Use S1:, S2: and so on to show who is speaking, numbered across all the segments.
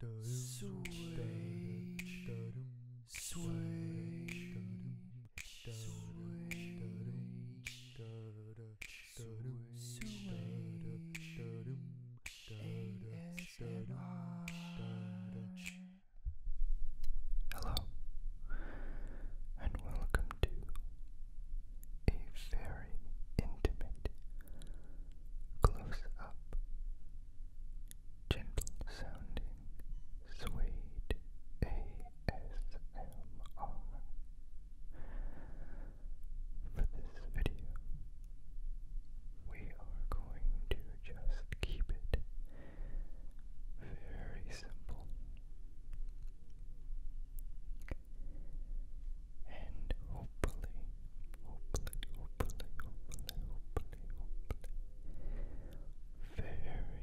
S1: Hello, and welcome to a very intimate close up gentle sounding suede ASMR. For this video, we are going to just keep it very simple and hopefully, hopefully, hopefully, hopefully, hopefully, hopefully, very tingly.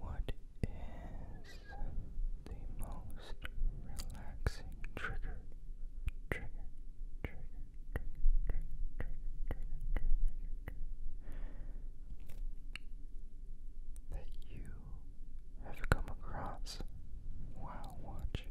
S1: What is the most relaxing trigger? that you have come across while watching,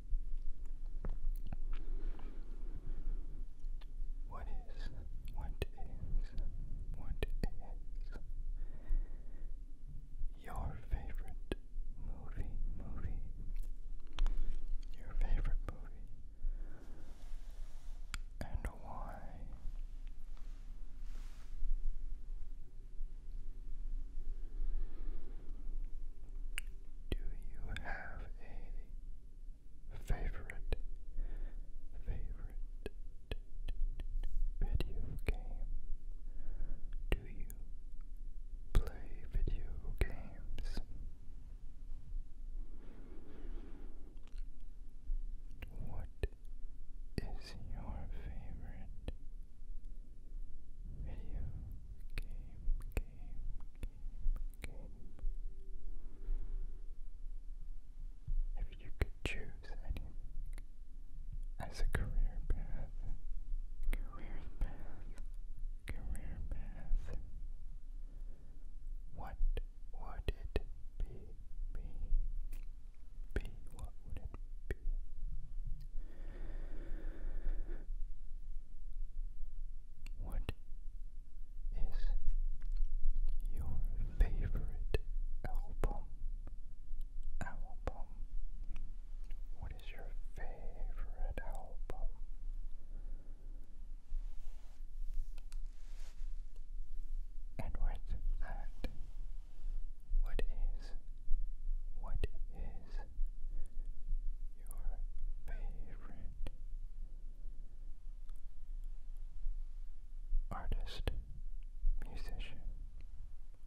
S1: What is, what is, what is your favorite movie? Movie? Your favorite movie? And why? Do you have a favorite, favorite video game? Do you play video games? What is your favorite video game. If you could choose anything as a career path, career path, career path, what would it be? Be, be, what would it be? What is your favorite album? Album. What is your favorite album? And with that, what is, what is your favorite artist, musician,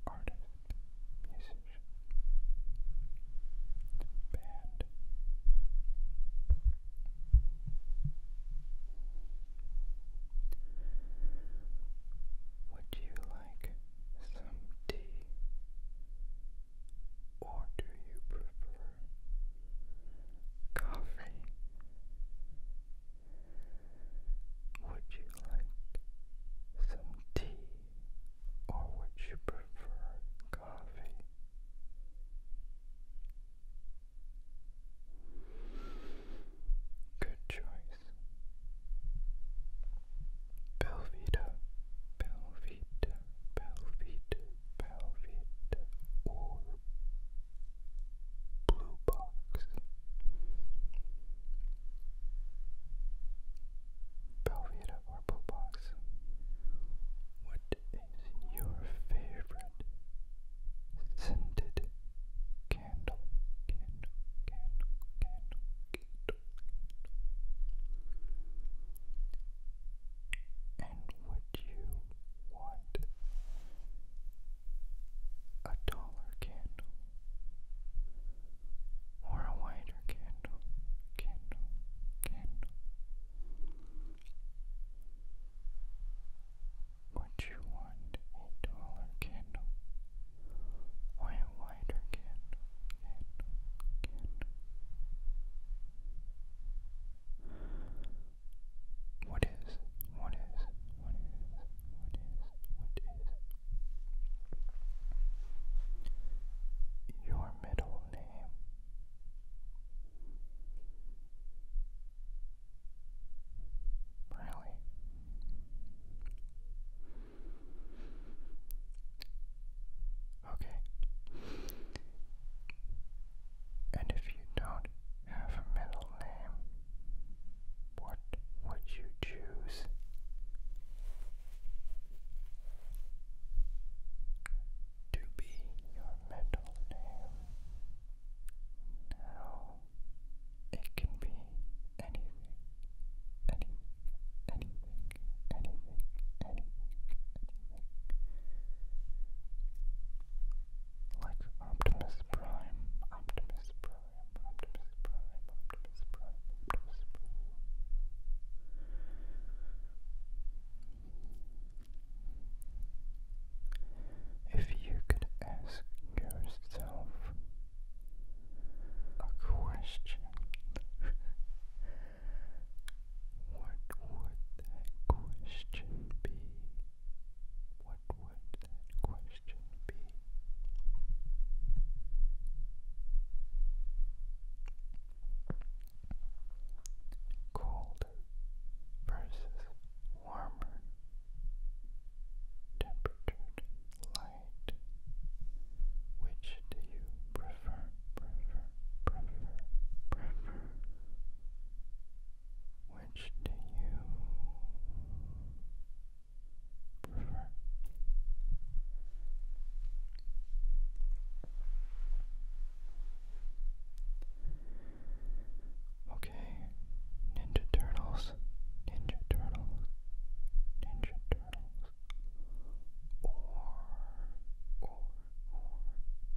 S1: artist, musician, band? Would you like some tea, or do you prefer coffee? Would you like some tea, or would you prefer coffee? Good choice. Belvita, Belvita, Belvita, Belvita, or Blue Box. Belvita or Blue Box. What is your favorite scented candle? Candle, candle, candle, candle. And would you want a taller candle or a wider candle? Candle, candle. Would you want a taller candle or a wider candle, candle, candle. What is, what is, what is, what is, what is your middle name? Really? Okay. And if you don't have a middle name, what would you choose? To be your middle name. Now it can be anything, anything, anything, anything, anything, Like Optimus Prime, Optimus Prime, Optimus Prime, Optimus Prime. If you could ask yourself a question. what would that question be? What would that question be? Colder versus warmer, temperatured, lighter night. Which do you prefer, prefer, prefer, prefer? Which do you prefer? Okay, Ninja Turtles, Ninja Turtles, Ninja Turtles, or, or,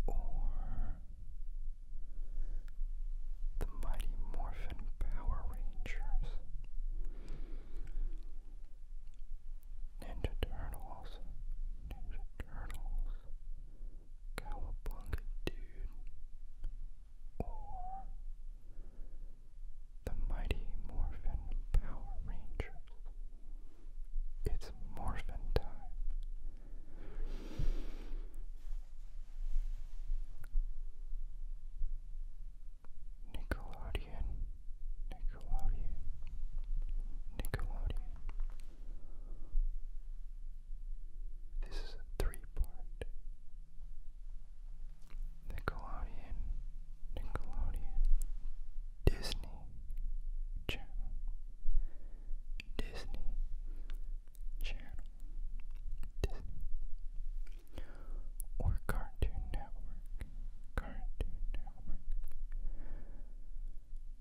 S1: or, or the Mighty Morphin Power Rangers. Ninja Turtles, Ninja Turtles, Cowabunga Dude, or the Mighty Morphin Power Rangers. It's Morphin time. Nickelodeon, Nickelodeon, Nickelodeon. This is a three part Nickelodeon, Nickelodeon, Disney Channel, Disney Channel, Disney, or Cartoon Network, Cartoon Network,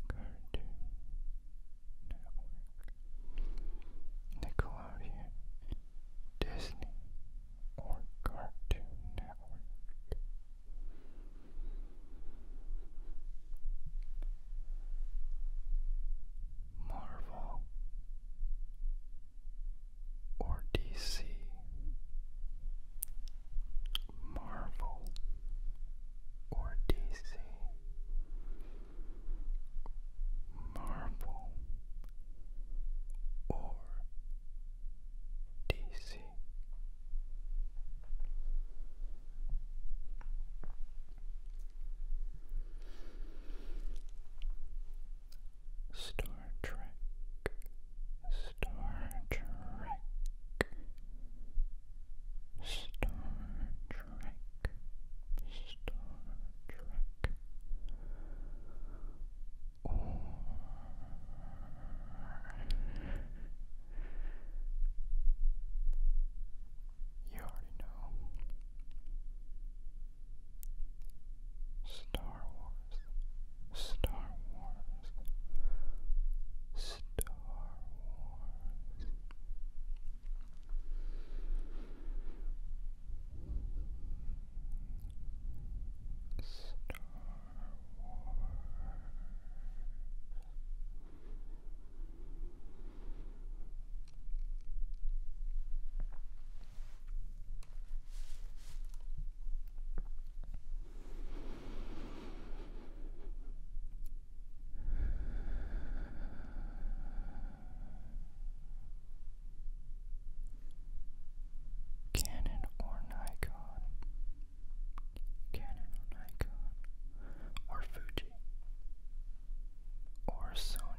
S1: Cartoon Network, Nickelodeon Disney or Cartoon Network. Marvel or DC. Marvel or DC. Marvel or DC. Star Trek, Star Trek, Star Star Trek, or you already know Star Wars, Star Wars, Star Wars. Star Wars. Canon or Nikon? Canon or Nikon? Or Fuji? Or Sony?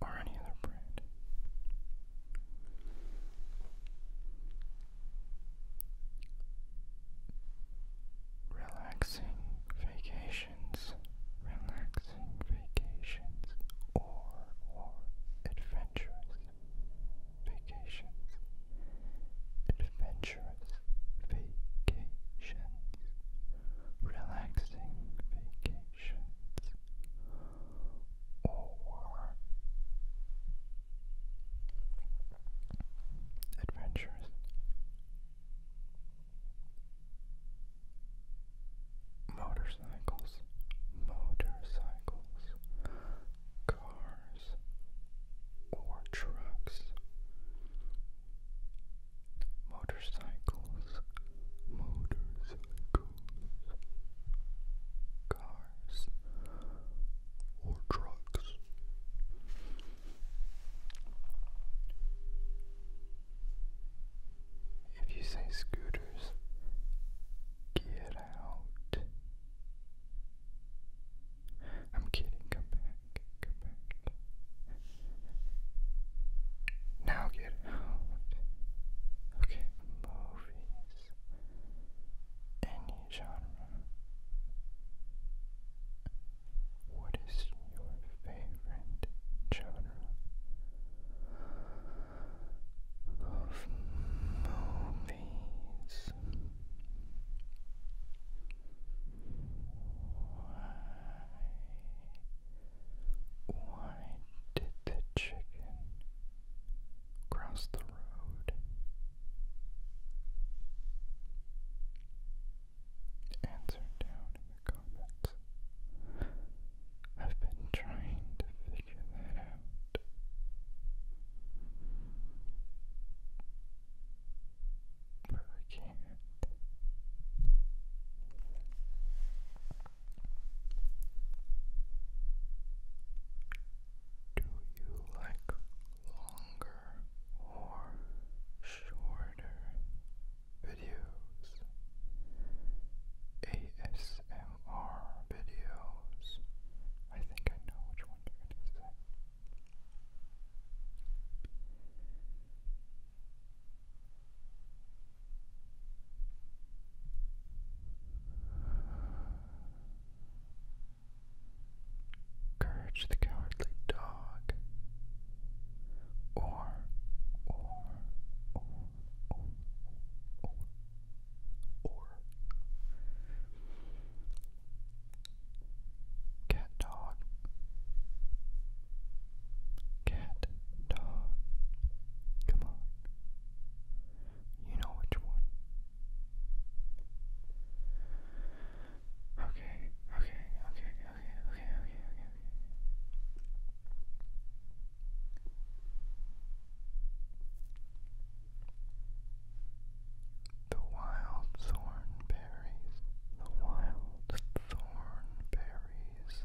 S1: or any other brand? Relaxing vacations, relaxing vacations, or or adventurous vacations, adventurous vacations, relaxing vacations, or Adventures, Motorcycles, motorcycles, cars, or trucks. Motorcycles, motorcycles, cars or drugs. If you say scooters, get out. I'm kidding, come back, come back. Now get out. Okay, movies any genre. What is your favorite genre of movies? Why? Why did the chicken Cross the road. Answer down in the comments. I've been trying to figure that out. But I can't. Do you like longer or shorter videos? ASMR videos. I think I know which one you're going to say. Courage the Cowardly Dog, or, or, or, or, Cat Dog, Cat Dog, come on. You know which one. Okay, okay, okay, okay, okay, okay, okay, The wild thorn berries, the wild thorn berries,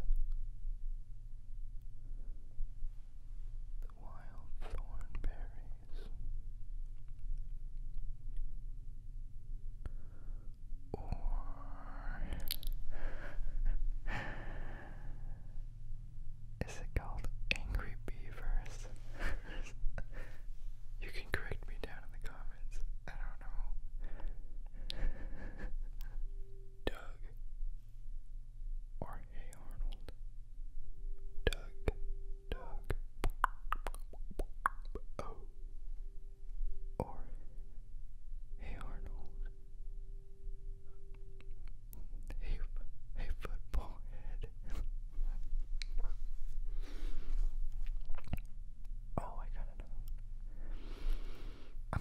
S1: wild thorn berries or is it called angry beavers? you can correct me down in the comments. I don't know. Doug, or Hey Arnold, Doug, Doug, oh, or Hey Arnold, Hey, hey Football Head. oh, I gotta know.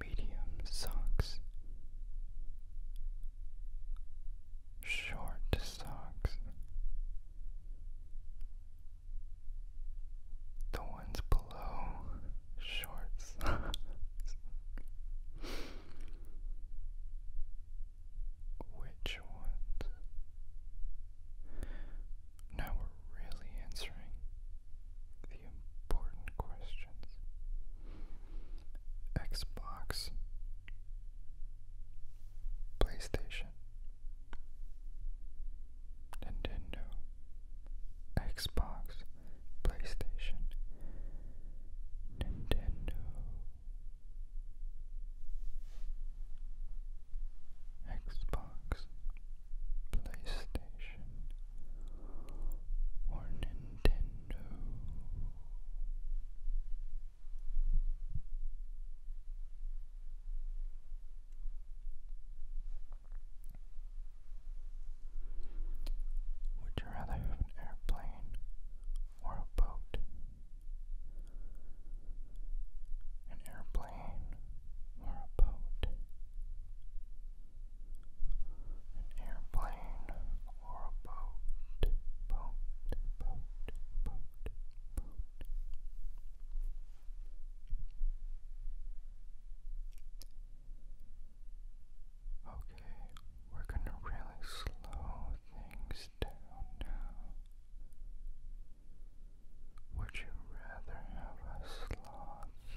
S1: medium socks, short socks. The ones below short Which ones? Now really answering the important questions. Xbox, PlayStation, Nintendo, Xbox, PlayStation, Nintendo, Xbox, PlayStation or Nintendo. Would you rather an airplane or a boat? An airplane or a boat? an airplane, or a boat, boat, boat, boat, boat. Okay, we're gonna really slow things down now. Would you rather have a sloth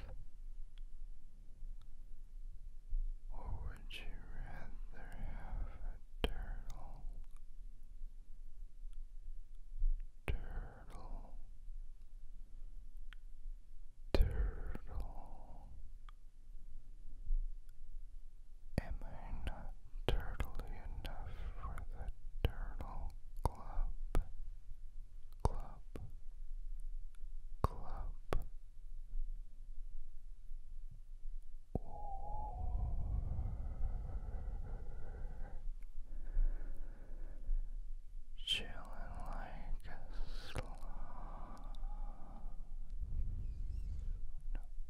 S1: or would you rather have a turtle? Turtle, turtle. Am I not turtly enough for the turtle club? club, club, or like a sloth.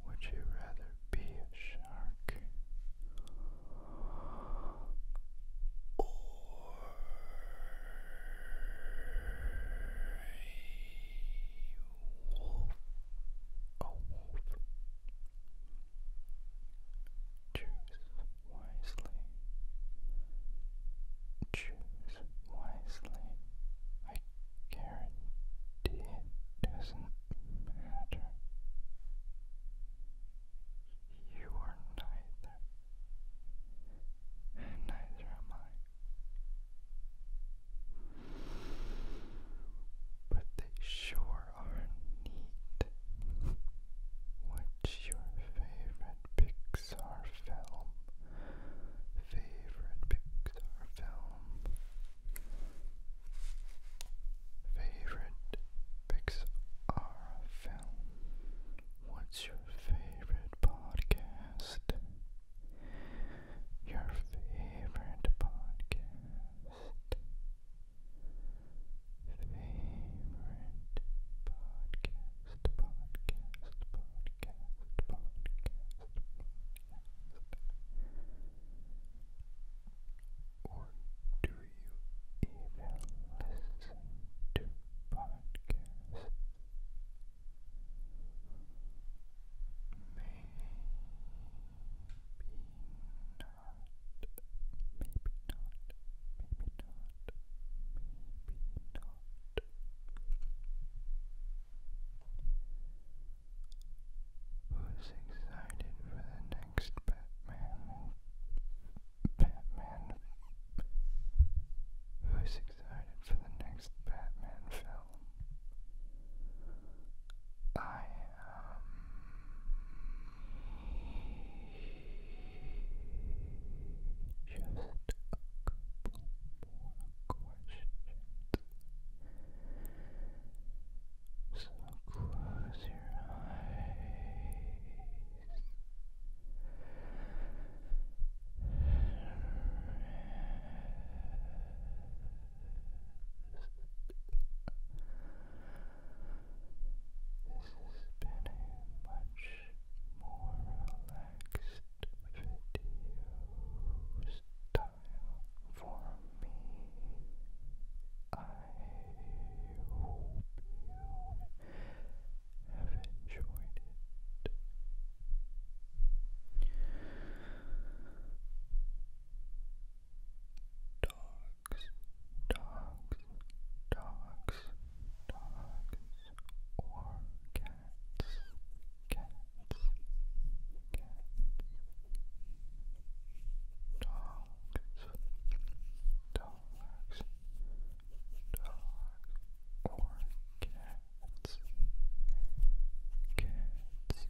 S1: Would you rather be a shark a wolf. Choose wisely. Choose wisely. I guarantee it doesn't matter. You are neither, neither am I. But they sure are neat. What's your favorite Pixar film? Favorite Pixar film? Favorite Pixar film. What's your favorite podcast? Your favorite podcast. Favorite podcast, podcast, podcast, podcast, podcast. Or do you even listen to podcasts? Maybe not. Maybe not. Maybe not. Maybe not. Who's excited for the next Batman Batman. Who's excited for the next Batman film? I am. Just a couple more Close your eyes this has been a much more relaxed video style for me hope you have enjoyed it. Dogs, dogs, dogs, dogs, or cats, cats, cats, dogs dogs, dogs, or cats, cats, cats. Cats,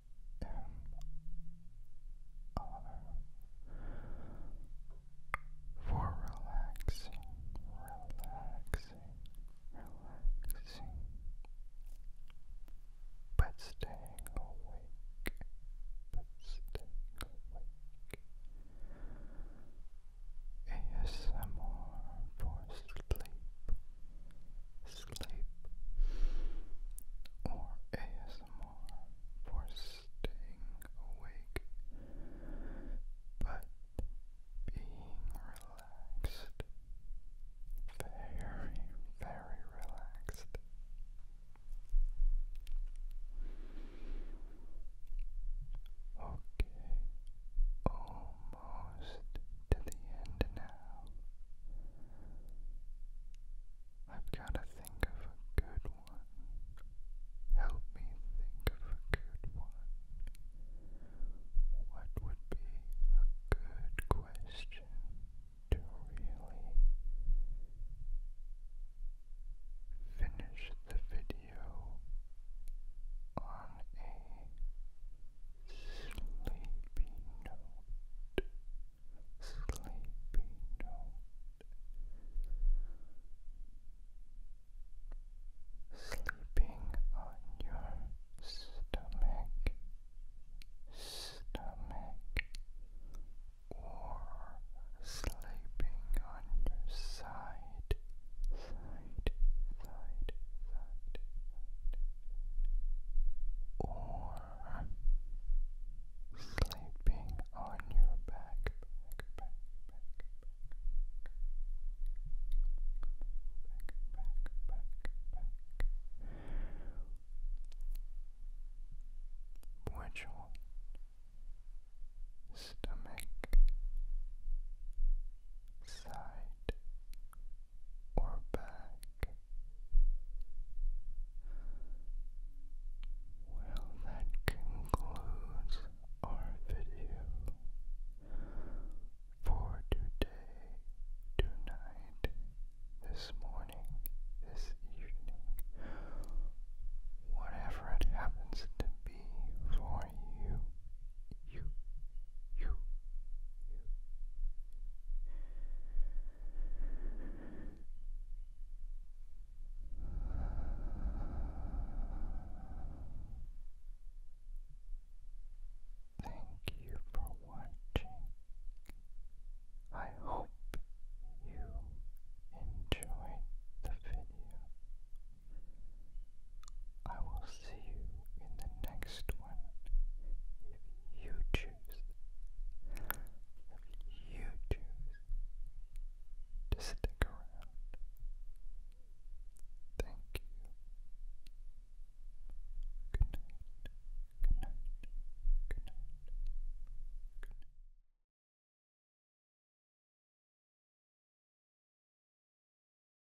S1: for relaxing, relaxing, relaxing, but staying awake, but staying awake. ASMR for sleep, sleep, or ASMR for staying awake, but being relaxed, very, very relaxed. Okay, almost to the end now. I've got to think of a good one. Help me think of a good one. What would be a good question to really finish the video on a Sleepy note, sleeping on your stomach, stomach, or sleeping on your side side, side, or sleeping on your back, Which Stomach, side, or back. Well, that concludes our video for today, tonight, this morning, this evening, whatever it happens to be for you you, you, you. Thank you for watching. I hope you enjoyed the video. I will see you in the next one if you choose. If you choose to stick around. Thank you. Good night. Good night. Good night. Good night.